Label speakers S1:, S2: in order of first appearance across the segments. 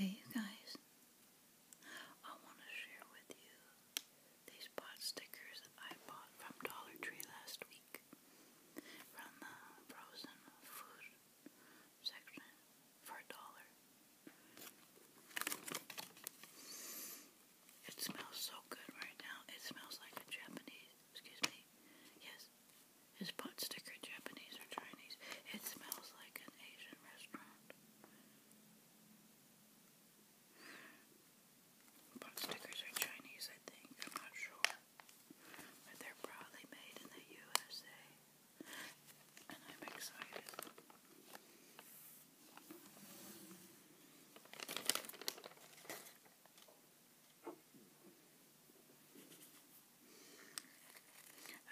S1: Hey you guys, I want to share with you these pot stickers I bought from Dollar Tree last week from the frozen food section for a dollar. It smells so good right now. It smells like Japanese, excuse me, yes, this? Is pot sticker Japanese or Chinese? It smells like an Asian restaurant. Pot stickers are Chinese, I think. I'm not sure. But they're probably made in the USA. And I'm excited.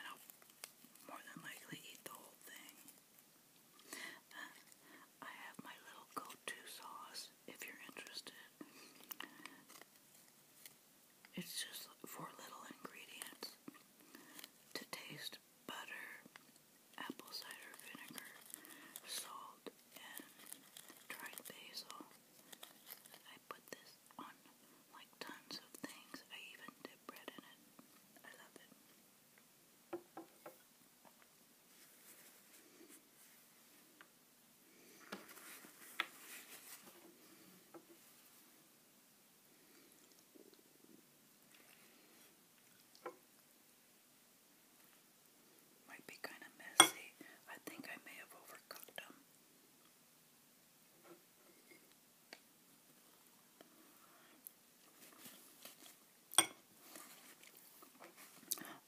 S1: I'll more than likely eat the whole thing. Uh, I have my little go-to sauce if you're interested. It's just four little ingredients to taste butter, apple cider vinegar, salt, and dried basil. I put this on like tons of things. I even dip bread in it. I love it. Might be kind of messy. I think I may have overcooked them.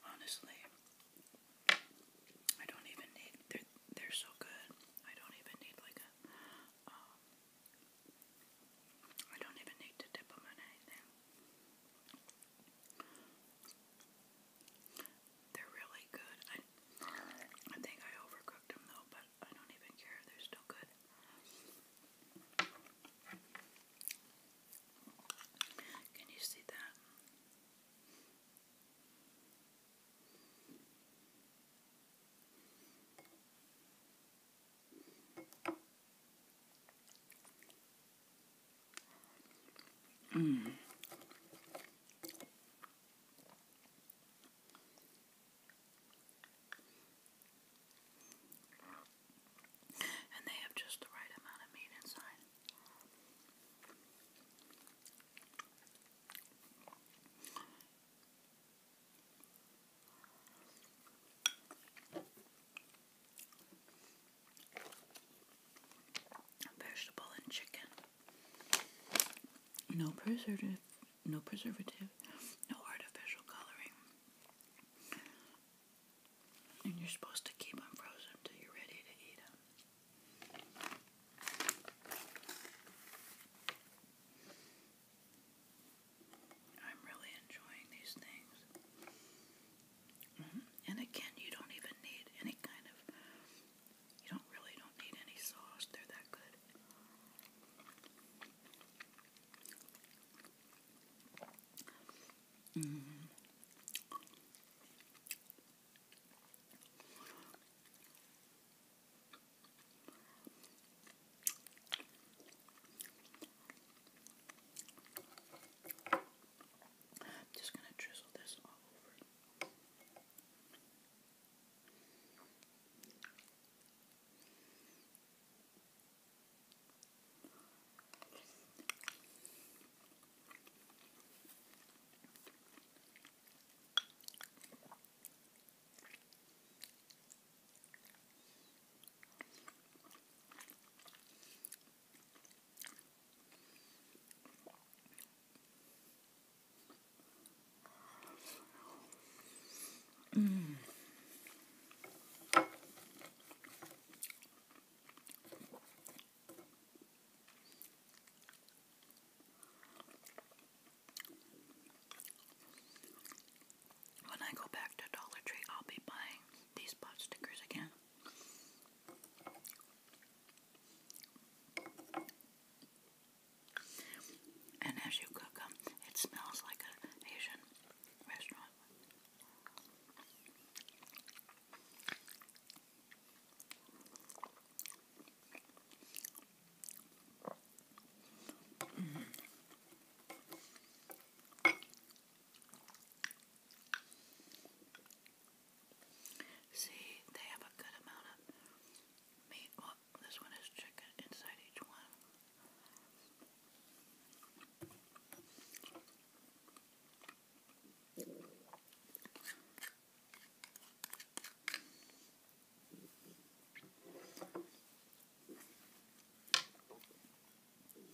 S1: Honestly, I don't even need they're they're so good. I don't even need like a um, don't even need to dip them in anything. They're really good. I, I think I overcooked them though, but I don't even care. They're still good. Can you see that? Mm. And they have just the right amount of meat inside vegetable and chicken. No preservative, no preservative, no artificial coloring. And you're supposed to keep them frozen till you're ready to eat them. I'm really enjoying these things. Mm And again, you don't even need any kind of, you don't really don't need any sauce. They're that good. Mm-hmm. I'm just going to drizzle this all over. Mm. When I go back to Dollar Tree, I'll be buying these pot stickers again. And as you cook them, it smells like an Asian restaurant. See, they have a good amount of meat. this one is chicken inside each one.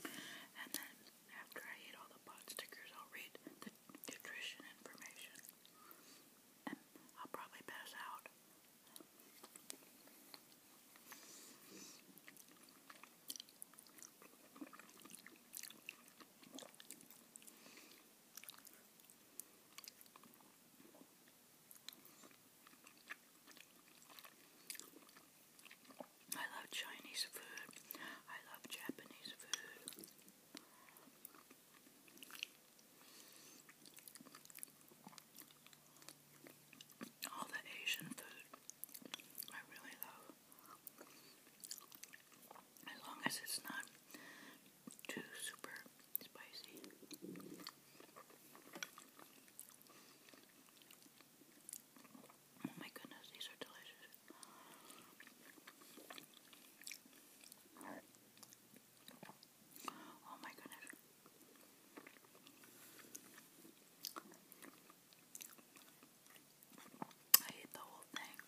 S1: And then after I eat all the pot stickers, I'll read the nutrition information. And I'll probably pass out. I love Chinese food. I love Japanese food. All the Asian food I really love. As long as it's not too super spicy. Oh my goodness, these are delicious. Oh my goodness. I ate the whole thing.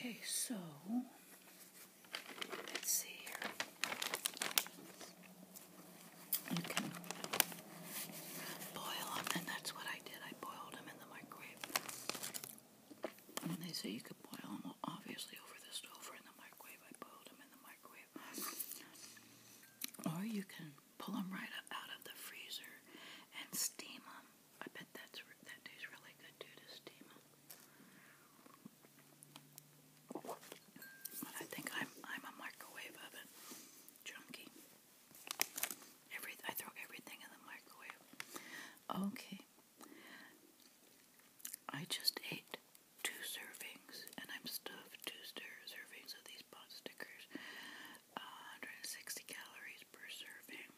S1: Okay, so let's see here. You can boil and that's what I did. I boiled them in the microwave. And they say you could boil them, obviously, over the stove or in the microwave. I boiled them in the microwave. Or you can pull them right up out of the freezer and steam them. I bet that's that tastes really good too to steam them. But I think I'm I'm a microwave oven junkie. Every I throw everything in the microwave. Okay. I just ate two servings, and I'm stuffed two servings of these pot stickers. 160 calories per serving,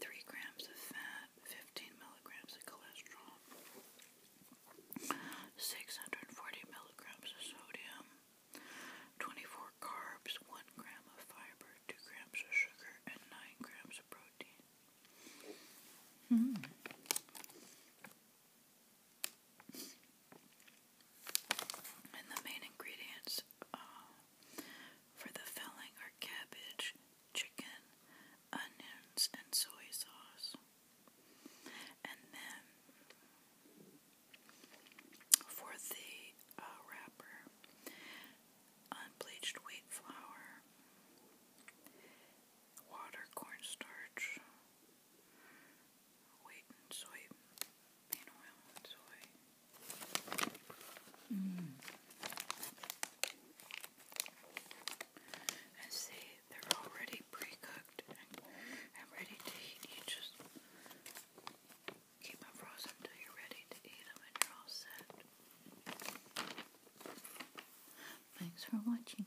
S1: 3 grams of fat, 15 milligrams of cholesterol, 640 milligrams of sodium, 24 carbs, 1 gram of fiber, 2 grams of sugar, and 9 grams of protein. Hmm. And the main ingredients uh, for the filling are cabbage, chicken, onions, and soy sauce. And then for the uh, wrapper, unbleached wheat flour, water, cornstarch, wheat and soy, bean oil and soy. Mm. And see, they're already pre-cooked and, ready to eat. You just keep them frozen until you're ready to eat them and you're all set. Thanks for watching.